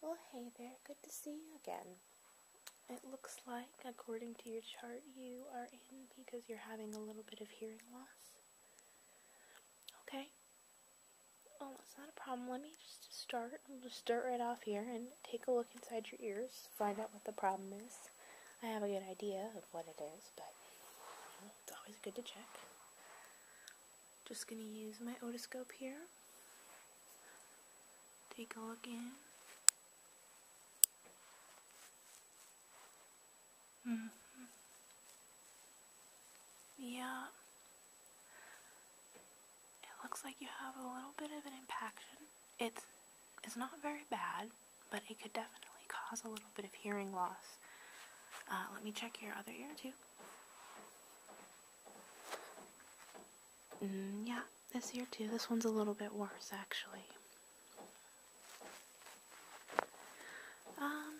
Well, hey there, good to see you again. It looks like, according to your chart, you are in because you're having a little bit of hearing loss. Okay. Oh, that's not a problem. Let me just start. I'll just start right off here and take a look inside your ears, find out what the problem is. I have a good idea of what it is, but you know, it's always good to check. Just going to use my otoscope here. Take a look in. Mm-hmm. Yeah. It looks like you have a little bit of an impaction. It's, it's not very bad, but it could definitely cause a little bit of hearing loss. Uh, let me check your other ear too. Mm, yeah, this here too. This one's a little bit worse actually. Um,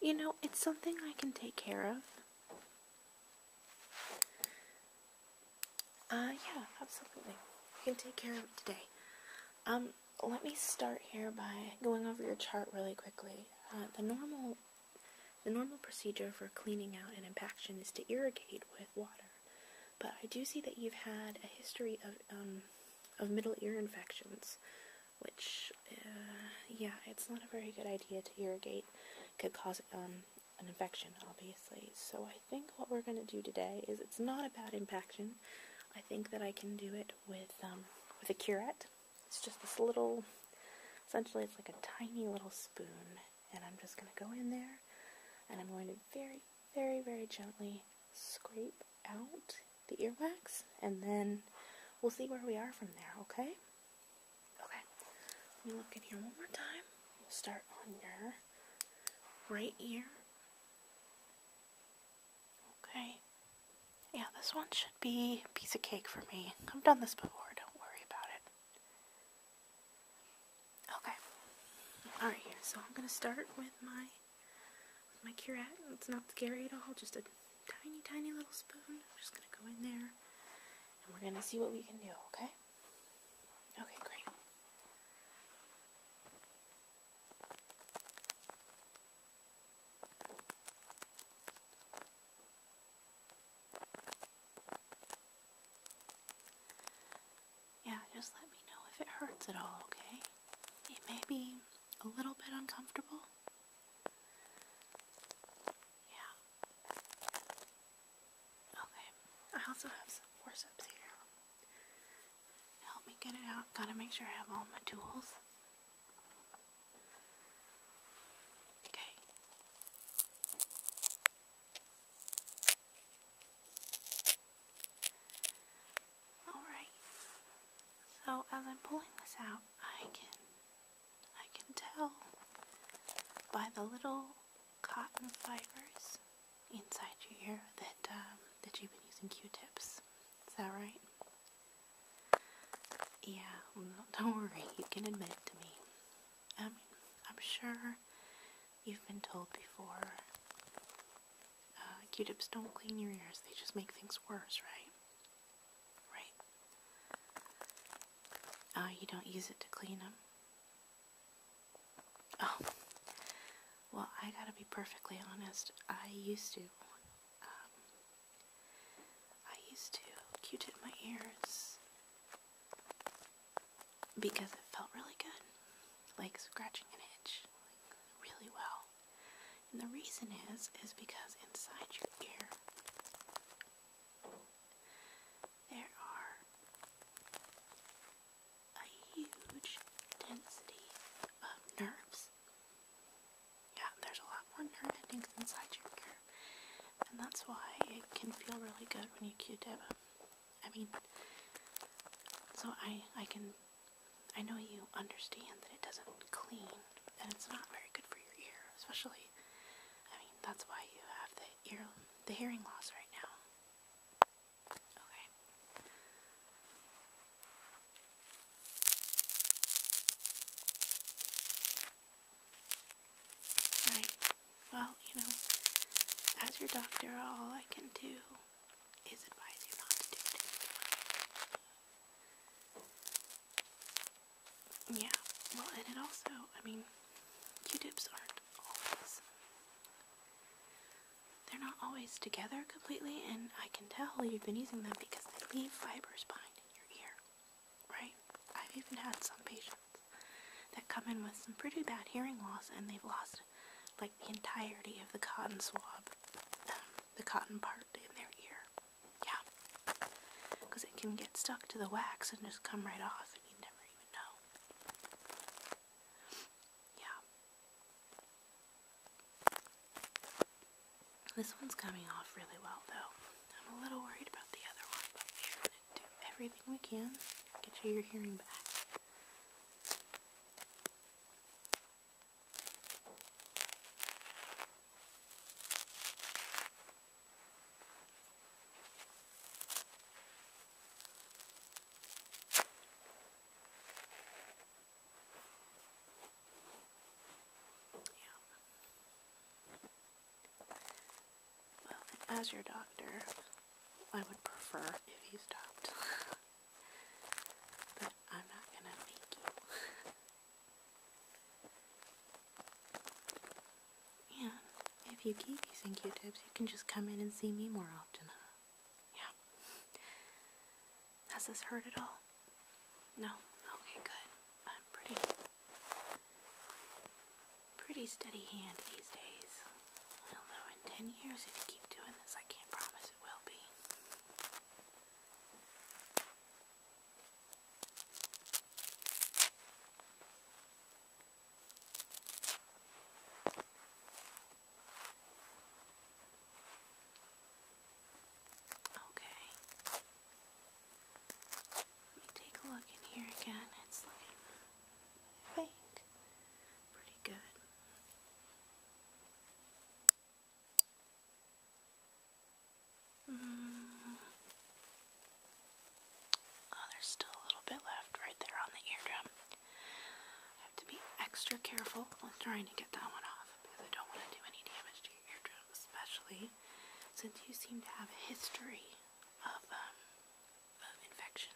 you know, it's something I can take care of. Uh, yeah, absolutely. I can take care of it today. Um, let me start here by going over your chart really quickly. Uh, the normal the normal procedure for cleaning out an impaction is to irrigate with water, but I do see that you've had a history of um, of middle ear infections, which uh, yeah, it's not a very good idea to irrigate. Could cause um, an infection, obviously. So I think what we're going to do today is it's not a bad impaction. I think that I can do it with um, with a curette. It's just this little, essentially it's like a tiny little spoon. And I'm just going to go in there and I'm going to very, very, very gently scrape out the earwax. And then we'll see where we are from there, okay? Okay. Let me look in here one more time. We'll start on your right ear. Okay. Yeah, this one should be a piece of cake for me. I've done this before, don't worry about it. Okay. Alright, so I'm gonna start with my with my curette. It's not scary at all, just a tiny, tiny little spoon. I'm just gonna go in there and we're gonna see what we can do, okay? Okay, great. Yeah, just let me know if it hurts at all, okay? It may be a little bit uncomfortable. Yeah. Okay, I also have some forceps here. Help me get it out. Gotta make sure I have all my tools. Okay. Alright. So as I'm pulling this out, I can I can tell by the little cotton fibers inside your ear that um, that you've been using Q-tips. Is that right? Yeah, don't worry, you can admit it to me. I mean, I'm sure you've been told before. Uh, Q-tips don't clean your ears, they just make things worse, right? Right. Uh, you don't use it to clean them? Oh. Well, I gotta be perfectly honest. I used to um, I used to Q-tip my ears because it felt really good, like scratching an itch, really well. And the reason is, is because inside your ear there are a huge density of nerves yeah, there's a lot more nerve endings inside your ear, and that's why it can feel really good when you Q-tip. I mean, so I I can I know you understand that it doesn't clean and it's not very good for your ear, especially. I mean, that's why you have the ear the hearing loss right now. Okay. Right. Well, you know, as your doctor, all I can do is advise you not to do it. Yeah. Well, and it also, I mean, Q-tips aren't always they're not always together completely, and I can tell you've been using them because they leave fibers behind in your ear, right? I've even had some patients that come in with some pretty bad hearing loss, and they've lost like the entirety of the cotton swab, um, the cotton part in their ear. Yeah, because it can get stuck to the wax and just come right off, and you never even know. Yeah, this one's coming off really well though. I'm a little worried about the other one, but we're going to do everything we can to get you your hearing back. Yeah. Well, as your doctor, I would prefer if you stopped. but I'm not going to make you. and if you keep using Q-tips, you can just come in and see me more often, huh? Yeah. Has this hurt at all? No? Okay, good. I'm pretty. Pretty steady hand these days. I in 10 years, if you keep doing this, I can't promise it will be. Okay. Let me take a look in here again. It's looking, pretty good. Mm. Oh, there's still a little bit left right there on the eardrum. I have to be extra careful when trying to get that one off because I don't want to do any damage to your eardrum, especially since you seem to have a history of, um, of infection.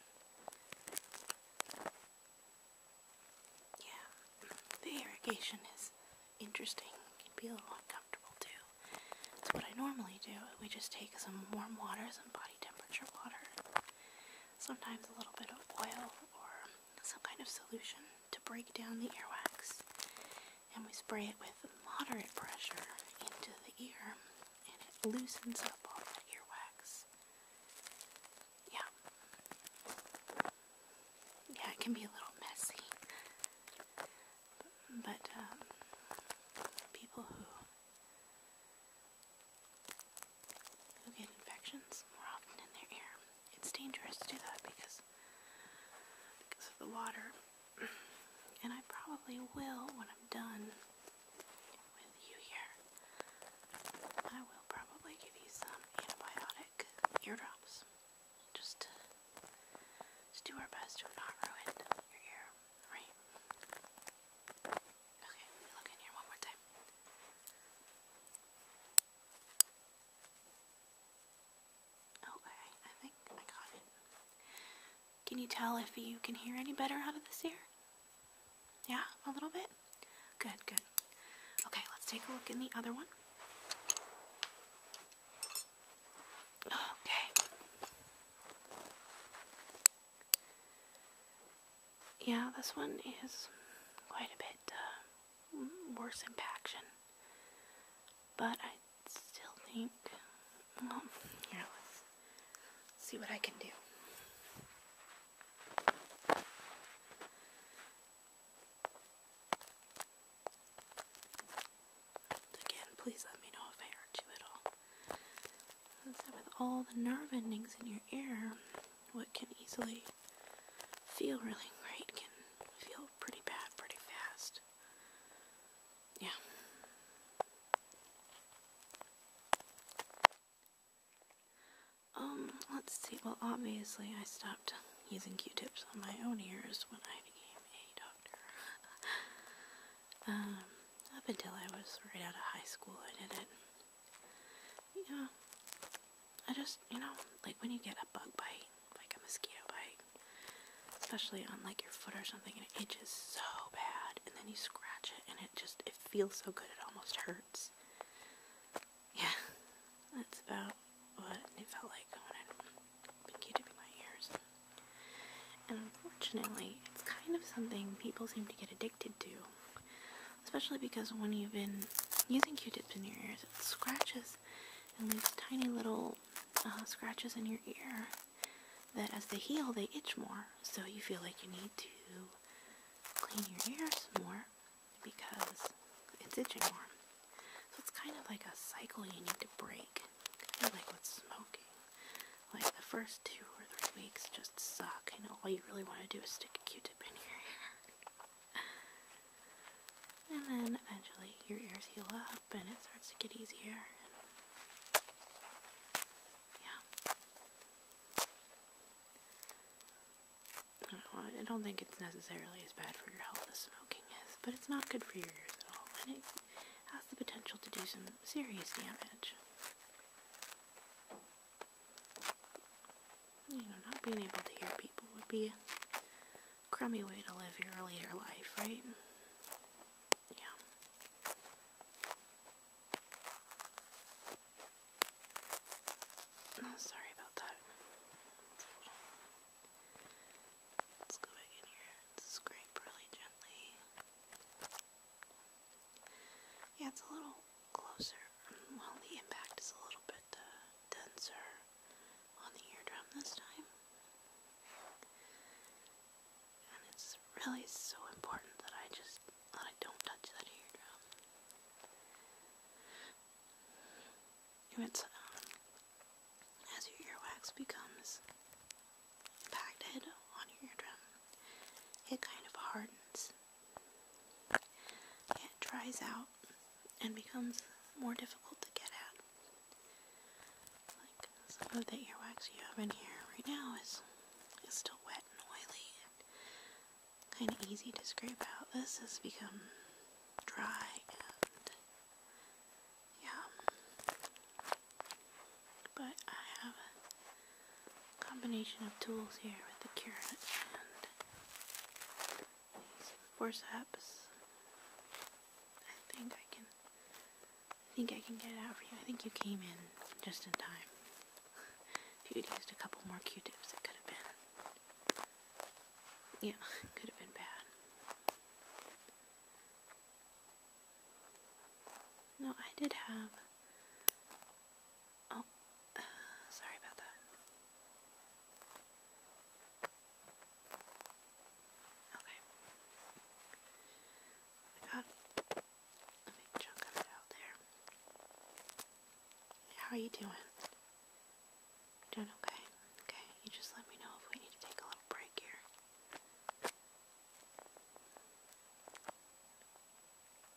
Yeah, the irrigation is interesting. It can be a little uncomfortable too. That's what I normally do. We just take some warm water, some body temperature water, sometimes a little bit of oil or some kind of solution to break down the earwax, and we spray it with moderate pressure into the ear, and it loosens up all that earwax. Yeah. Yeah, it can be a little messy. But um, people who who get infections more often in their air. It's dangerous to do that because because of the water. And I probably will when I'm done with you here. I will probably give you some antibiotic eardrops. Just to do our best to not ruin your ear, right? Okay, look in here one more time. Okay, oh, I think I got it. Can you tell if you can hear any better out of this ear? Yeah, a little bit? Good, good. Okay, let's take a look in the other one. Okay yeah, this one is quite a bit uh, worse impaction, but I still think. yeah, let's see what I can do. Again, please let me know if I hurt you at all. with all the nerve endings in your ear, what can easily feel really great can feel pretty bad pretty fast. Yeah. Um, let's see. Well, obviously, I stopped using Q-tips on my own ears when I became a doctor. um, up until I was right out of high school, I did it. Yeah. I just, you know, like when you get a bug bite, like a mosquito bite, especially on like your foot or something, and it itches so bad, and then you scratch it, and it just, it feels so good, it almost hurts. Yeah, that's about what it felt like when I'd been q-tipping my ears. And unfortunately, it's kind of something people seem to get addicted to especially because when you've been using Q-tips in your ears, it scratches and leaves tiny little uh, scratches in your ear that as they heal, they itch more. So you feel like you need to clean your ears more because it's itching more. So it's kind of like a cycle you need to break. Kind of like with smoking. Like the first two three weeks just suck, and all you really want to do is stick a Q-tip in your ear. and then eventually your ears heal up, and it starts to get easier. yeah. I don't think it's necessarily as bad for your health as smoking is, but it's not good for your ears at all, and it has the potential to do some serious damage. You know, not being able to hear people would be a crummy way to live your later life, right? Yeah. Oh, sorry about that. Let's go back in here scrape really gently. Yeah, it's a little closer. Well, the impact is a little bit uh, denser on the eardrum this time. And it's really so important that I just I don't touch that eardrum. And it's um, as your earwax becomes impacted on your eardrum, it kind of hardens it dries out and becomes more difficult to get at. Like some of the earwax you have in here right now is, is still wet and oily and kind of easy to scrape out. This has become dry and yeah. But I have combination of tools here with the curate and some forceps. I think I can I think I can get it out for you. I think you came in just in time. if you would used a couple more Q tips it could have been Yeah, it could have been bad. No, I did have Oh, sorry about that. Okay. got a big chunk of it out there. How are you doing? Doing okay? Okay, you just let me know if we need to take a little break here.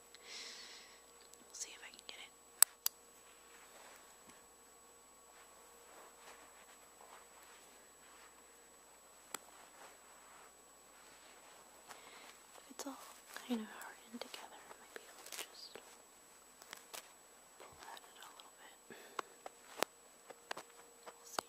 We'll see if I can get it. If it's all kind of hardened together, I might be able to just pull at it a little bit. We'll see.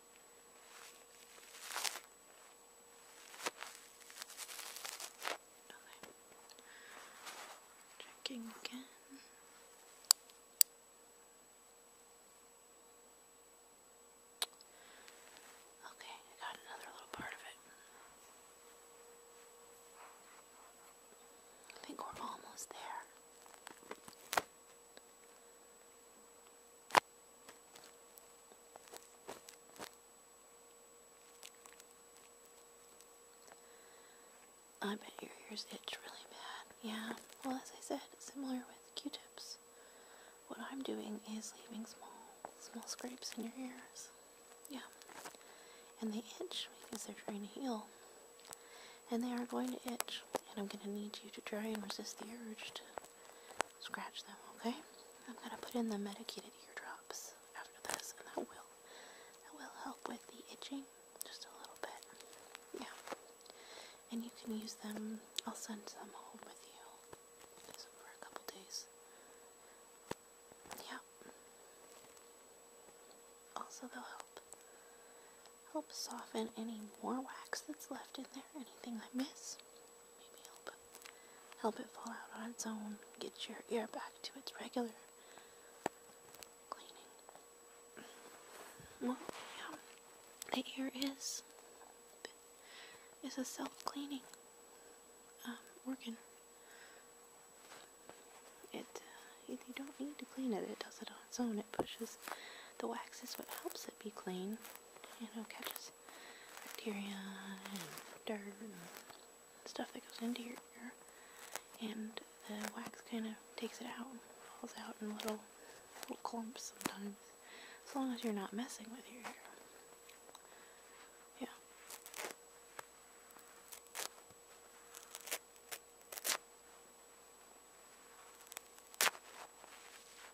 Checking again. Okay, I got another little part of it. I think we're almost there. I bet your ears itch really bad. Yeah, well, as I said, similar with Q-tips. What I'm doing is leaving small, small scrapes in your ears. Yeah. And they itch because they're trying to heal. And they are going to itch. And I'm going to need you to try and resist the urge scratch them, okay? I'm gonna put in the medicated eardrops after this, and that will that will help with the itching just a little bit. Yeah. And you can use them. I'll send them home with you for a couple days. Yeah. Also, they'll help help soften any more wax that's left in there. Anything I miss. Maybe help help it fall out on its own. Get your ear back to its regular cleaning. Well, yeah, the ear is is a self-cleaning um, organ. It uh, you don't need to clean it. It does it on its own. It pushes the wax is what helps it be clean you know, catches bacteria and dirt and stuff that goes into your ear. And the wax kind of takes it out and falls out in little, little clumps sometimes, as long as you're not messing with your ear.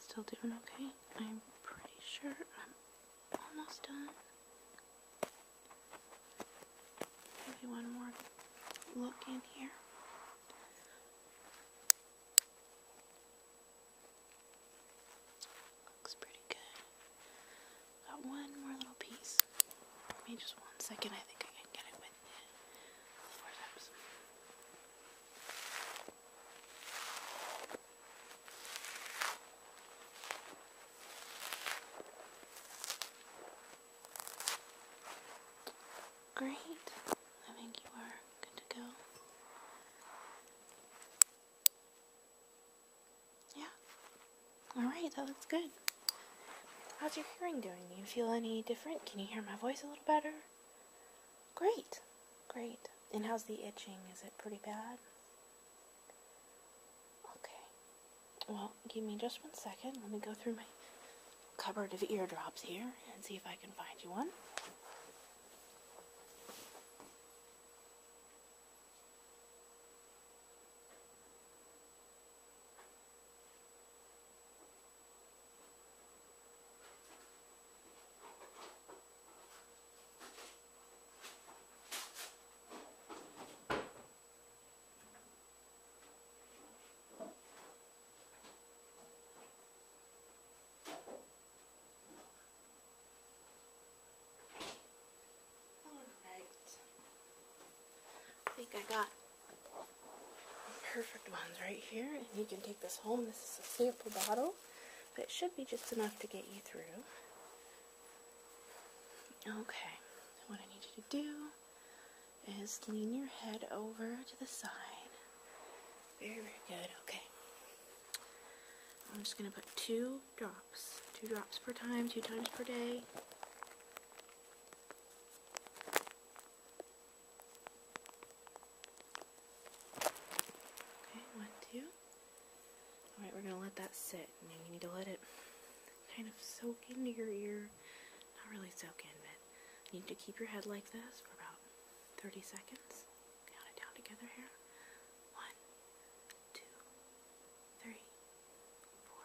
Still doing okay? I'm pretty sure I'm almost done. Maybe one more look in here. Looks pretty good. Got one more little piece. Give me just one second. I think I can get it Great. I think you are good to go. Yeah. Alright, that looks good. How's your hearing doing? Do you feel any different? Can you hear my voice a little better? Great, great. And how's the itching? Is it pretty bad? Okay. Well, give me just one second. Let me go through my cupboard of eardrops here and see if I can find you one. I think I got perfect ones right here and you can take this home. This is a sample bottle but it should be just enough to get you through. Okay, so what I need you to do is lean your head over to the side. Very, very good. Okay. I'm just going to put two drops, two drops per time, two times per day. Okay, one, two. Alright, we're gonna let that sit. Now you need to let it kind of soak into your ear. Not really soak in, but you need to keep your head like this for about 30 seconds. Count it down together here. One, two, three, four,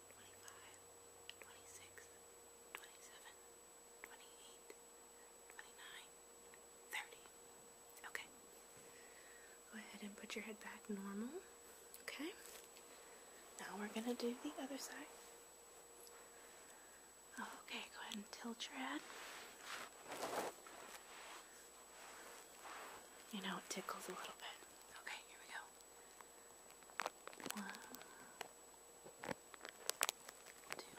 Okay. Go ahead and put your head back normal. Okay. Now we're going to do the other side. Okay, go ahead and tilt your head. You know, it tickles a little bit. Okay, here we go. One, two.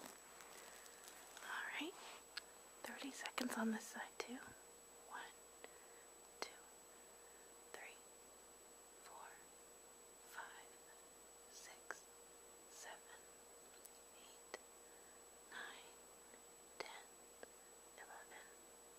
All right. 30 seconds on this side, too. One, two, three, four, five, six, seven, eight, nine, ten, eleven,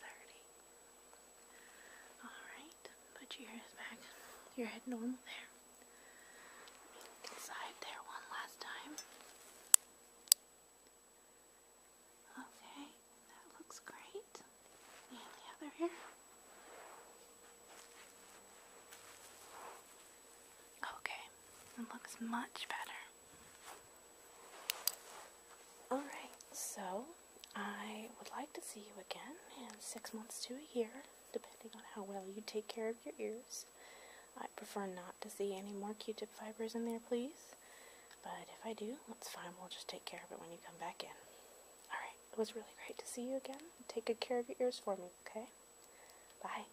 thirty. Alright, put your ears back, your head normal there. Inside there one last time. Okay, that looks great. the other ear. Okay, it looks much better. Alright, so I would like to see you again in six months to a year, depending on how well you take care of your ears. I prefer not to see any more Q-tip fibers in there, please. But if I do, that's fine. We'll just take care of it when you come back in. Alright, it was really great to see you again. Take good care of your ears for me, okay? Bye.